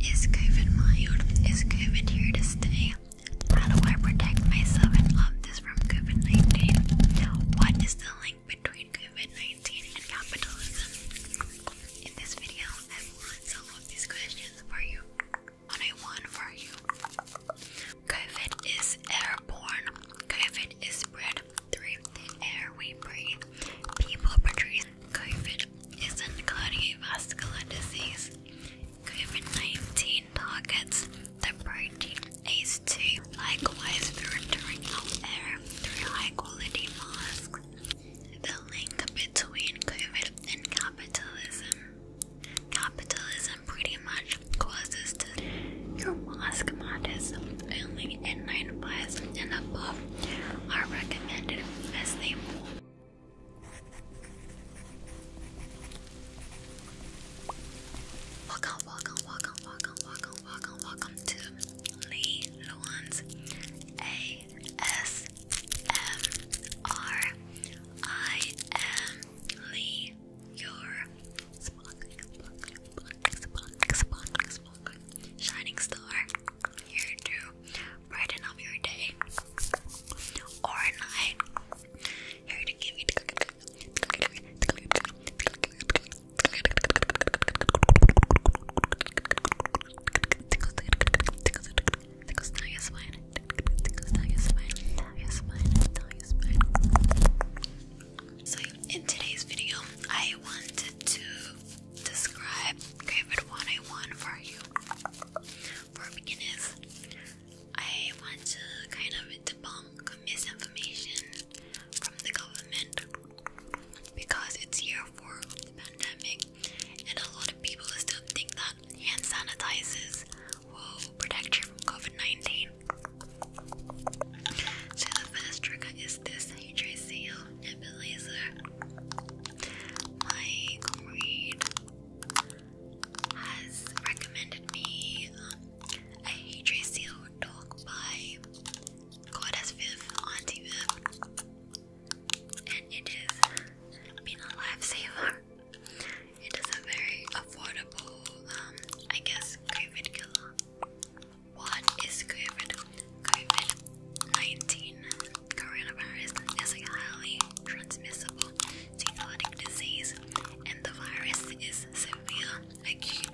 Is COVID mild? Is COVID here to stay? How do I protect myself and others from COVID 19? What is the link between COVID 19 and capitalism? In this video, I answer these questions for you. One one for you. COVID is airborne, COVID is spread through the air we breathe. People portraying COVID isn't cardiovascular disease. COVID-19 targets the protein ACE2, likewise filtering out air through high-quality masks. The link between COVID and capitalism. Capitalism pretty much causes to your mask matters only in 95 and above are recommended as they move. Welcome, welcome, welcome, welcome, welcome, welcome, welcome to Lee Luan's A S M R. I am Lee, your shining star here to brighten up your day or night. Here to give you So in today's video, I wanted to describe COVID 19 for you. For beginners, I want to kind of debunk misinformation from the government because it's year four of the pandemic, and a lot of people still think that hand sanitizers will protect you from COVID 19. So, the first trigger is is this? Hey Tracy, Nebulizer. My comrade has recommended me um, a Hey Tracy dog by Goddess Viv, Auntie Viv, and it has been a lifesaver. It is a very affordable, um, I guess, COVID killer. What is COVID? COVID-19 coronavirus is a highly transmissible zoonotic disease and the virus is severe acute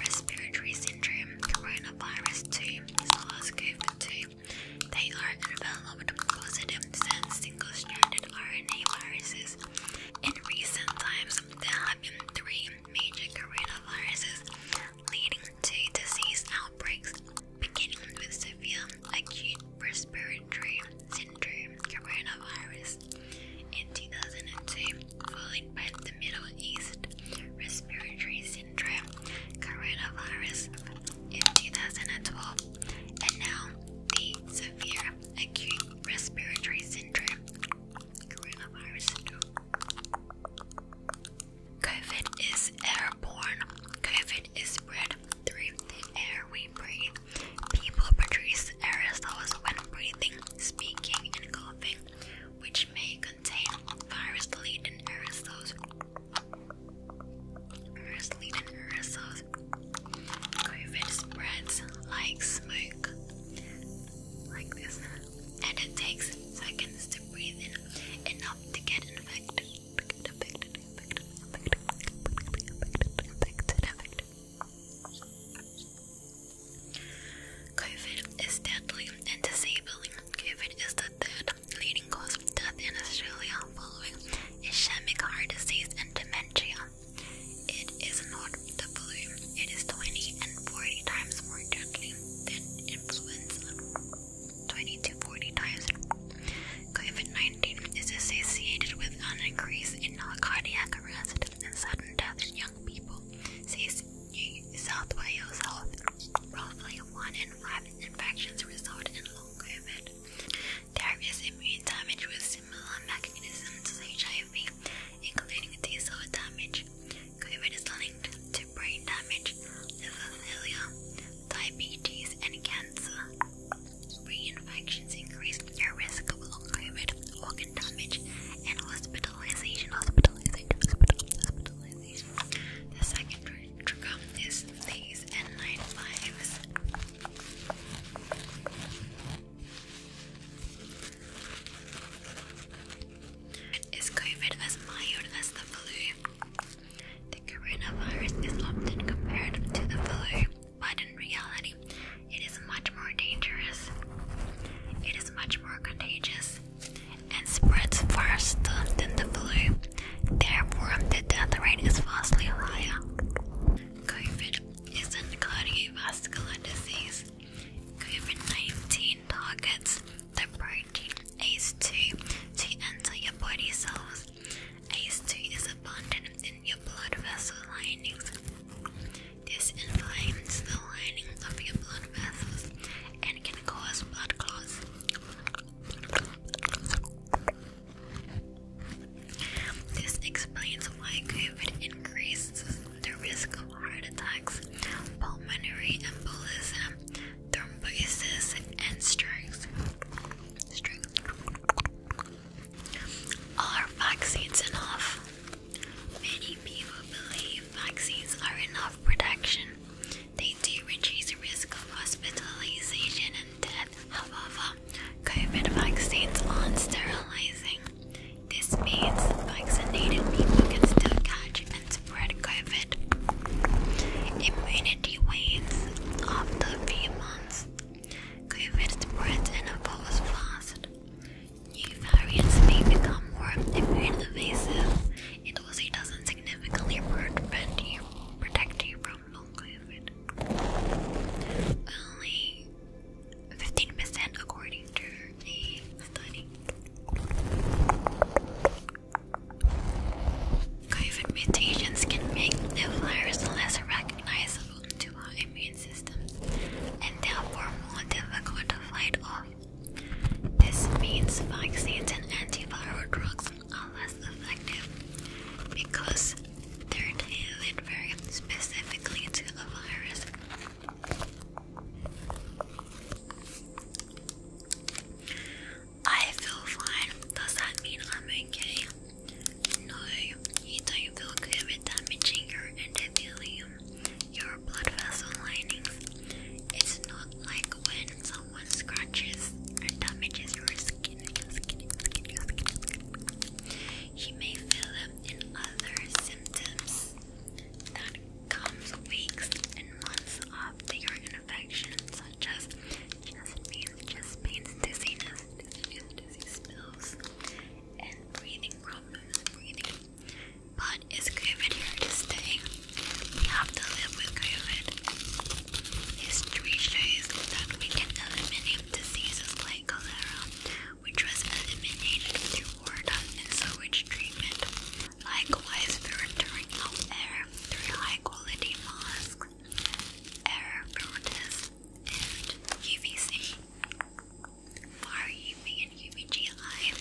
respiratory syndrome coronavirus 2 SARS-CoV-2. They are enveloped positive sense single-stranded RNA viruses. In recent times, there have been three major coronaviruses leading to disease outbreaks, beginning with severe acute respiratory syndrome coronavirus in 2002, followed by the Middle East respiratory syndrome coronavirus in 2012, and now the severe acute respiratory syndrome coronavirus COVID is airborne. COVID is spread through the air we breathe. People produce aerosols when breathing, speaking, and coughing, which may contain virus-laden aerosols. Virus-laden aerosols. COVID spreads like smoke, like this and it takes seconds to breathe in enough to get infected. COVID is deadly and disabling. COVID is the third leading cause of death in Australia, following ischemic heart disease and dementia. It is not the blue, it is 20 and 40 times more deadly than influenza. 20 to 40 times. COVID 19 is associated with an increase in cardiac arrest and sudden death in young people, says New South Wales Health. Roughly 1 in 5 infections result in long COVID. There is immune damage with similar mechanisms to HIV, including T cell damage. COVID is linked to brain damage, liver failure, diabetes, and cancer. Reinfections increase your risk of long COVID, organ damage, and hospitalization. Hospitalization, hospitalization. The second trigger is these N95s. Is COVID as mild as the flu? The coronavirus is often compared to the flu, but in reality, it is much more dangerous. It is much more contagious and spreads faster than the flu. Therefore, the death rate is vastly higher. COVID is a cardiovascular disease COVID-19 targets the protein ACE2 to enter your body cells. ACE2 is abundant in your blood vessel linings. This inflames the lining of your blood vessels and can cause blood clots. This explains why COVID increases the risk of heart attacks, pulmonary embolism, thrombosis, and strokes. Are vaccines enough? Many people believe vaccines are enough protection. They do reduce the risk of hospitalization and death. However, COVID vaccines aren't sterilizing. This means vaccinated people can still catch and spread COVID. Immunity wanes after a few months. COVID spreads and evolves fast. New variants may become more immune evasive and also doesn't significantly prevent you, protect you from long COVID. Only 15% according to a study. COVID mutations can make the virus less recognizable to our immune system, and therefore more difficult to fight off. This means vaccines and antiviral drugs are less effective because Thirdly, it refers specifically to the virus. I feel fine. Does that mean I'm okay? No, you don't feel good with damaging your endothelium, your blood vessel linings. It's not like when someone scratches or damages your skin. You may feel and other symptoms that comes weeks and months after your infection, such as chest pains, chest pains, dizziness, dizziness, dizzy spills, and breathing problems, breathing. But is COVID here to stay? We have to live with COVID. History shows that we can eliminate diseases like cholera which was eliminated through war done and sewage treatment. Likewise, for returning out air through high quality masks, air filters, and UVC. Far UV and UVGI,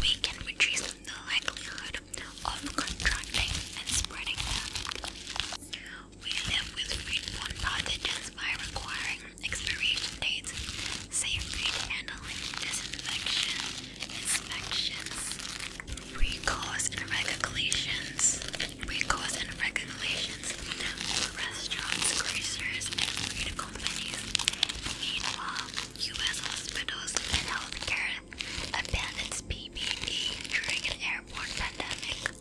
we can reduce the likelihood of contracting and spreading we live with food borne pathogens by requiring expiration dates, safe food handling, disinfection, inspections, recalls and regulations, recalls and regulations for restaurants, grocers, and food companies. Meanwhile, U.S. hospitals and healthcare abandons PPE during an airborne pandemic.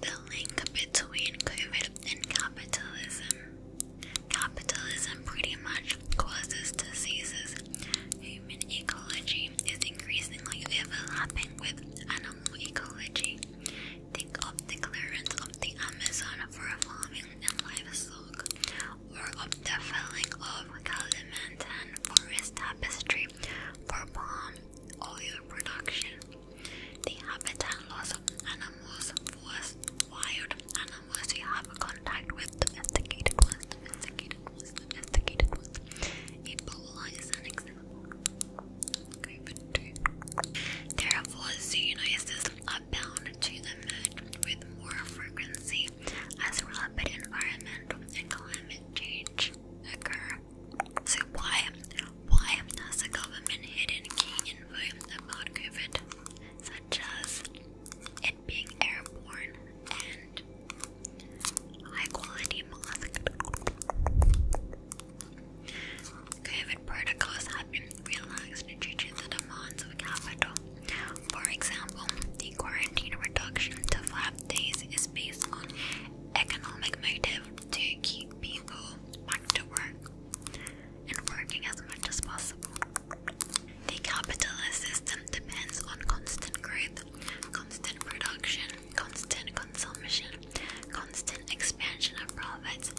The link between COVID and capitalism. Capitalism pretty much causes diseases. Human ecology is increasingly overlapping with animal ecology. Think of the clearance of the Amazon for farming and livestock, or of the felling of clement and forest tapestry for palm oil production. The habitat loss of animals was wild animals you have contact with domesticated ones, domesticated ones, domesticated ones. Ebola is an example. Okay, but Therefore, Xena is this upbound to the moon with more frequency as rapid environmental and climate change occur. So why, why has the government hidden key info about COVID, such as it being airborne and high quality mask? COVID protocols have been relaxed due to the demands of capital. For example, the quarantine reduction to five days is based on economic motive to keep people back to work and working as much as possible. The capitalist system depends on constant growth, constant production, constant consumption, constant expansion of profits,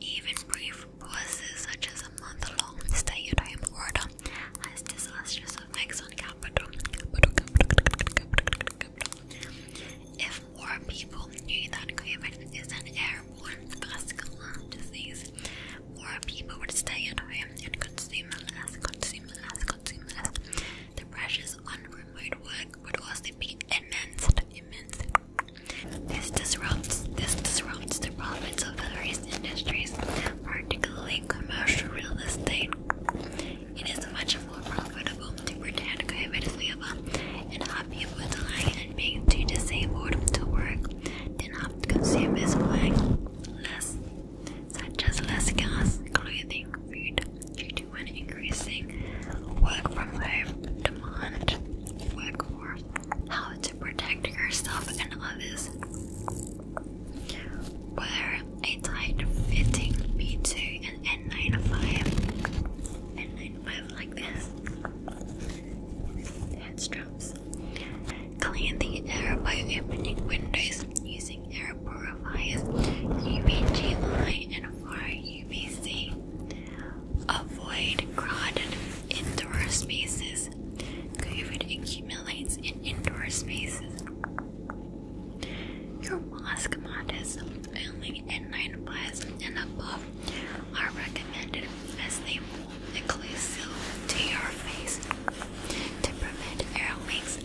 even brief pauses, such as a month-long stay at home order, has disastrous effects on capital. If more people knew that COVID is an airborne vascular disease, more people would stay at home and consume less, consume less, consume less. The pressures on remote work would also be immense, immense, this disrupts this disrupts the profits of various industries, particularly commercial real estate. It is much more profitable to pretend COVID is over and have people dying and being too disabled to work than have consumers buying less, such as less gas, clothing, food, due to an increasing work from home demand. Work how to protect yourself and others. Wear a tight fitting B2 and N95, N95 like this, head Clean the air by opening windows using air purifiers, UVG and fire Avoid crowded indoor spaces. COVID accumulates in indoor spaces. Your mask models have N95s and above are recommended as they move inclusive to your face to prevent air leaks.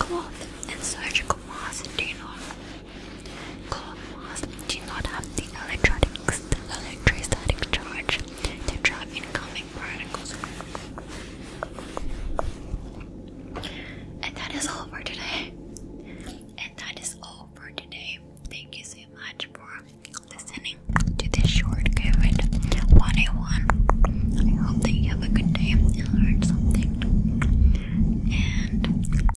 Cloth and surgical masks do not Claw do not have the electrostatic charge to trap incoming particles. And that is all for today. And that is all for today. Thank you so much for listening to this short COVID 101. I hope that you have a good day and learned something. And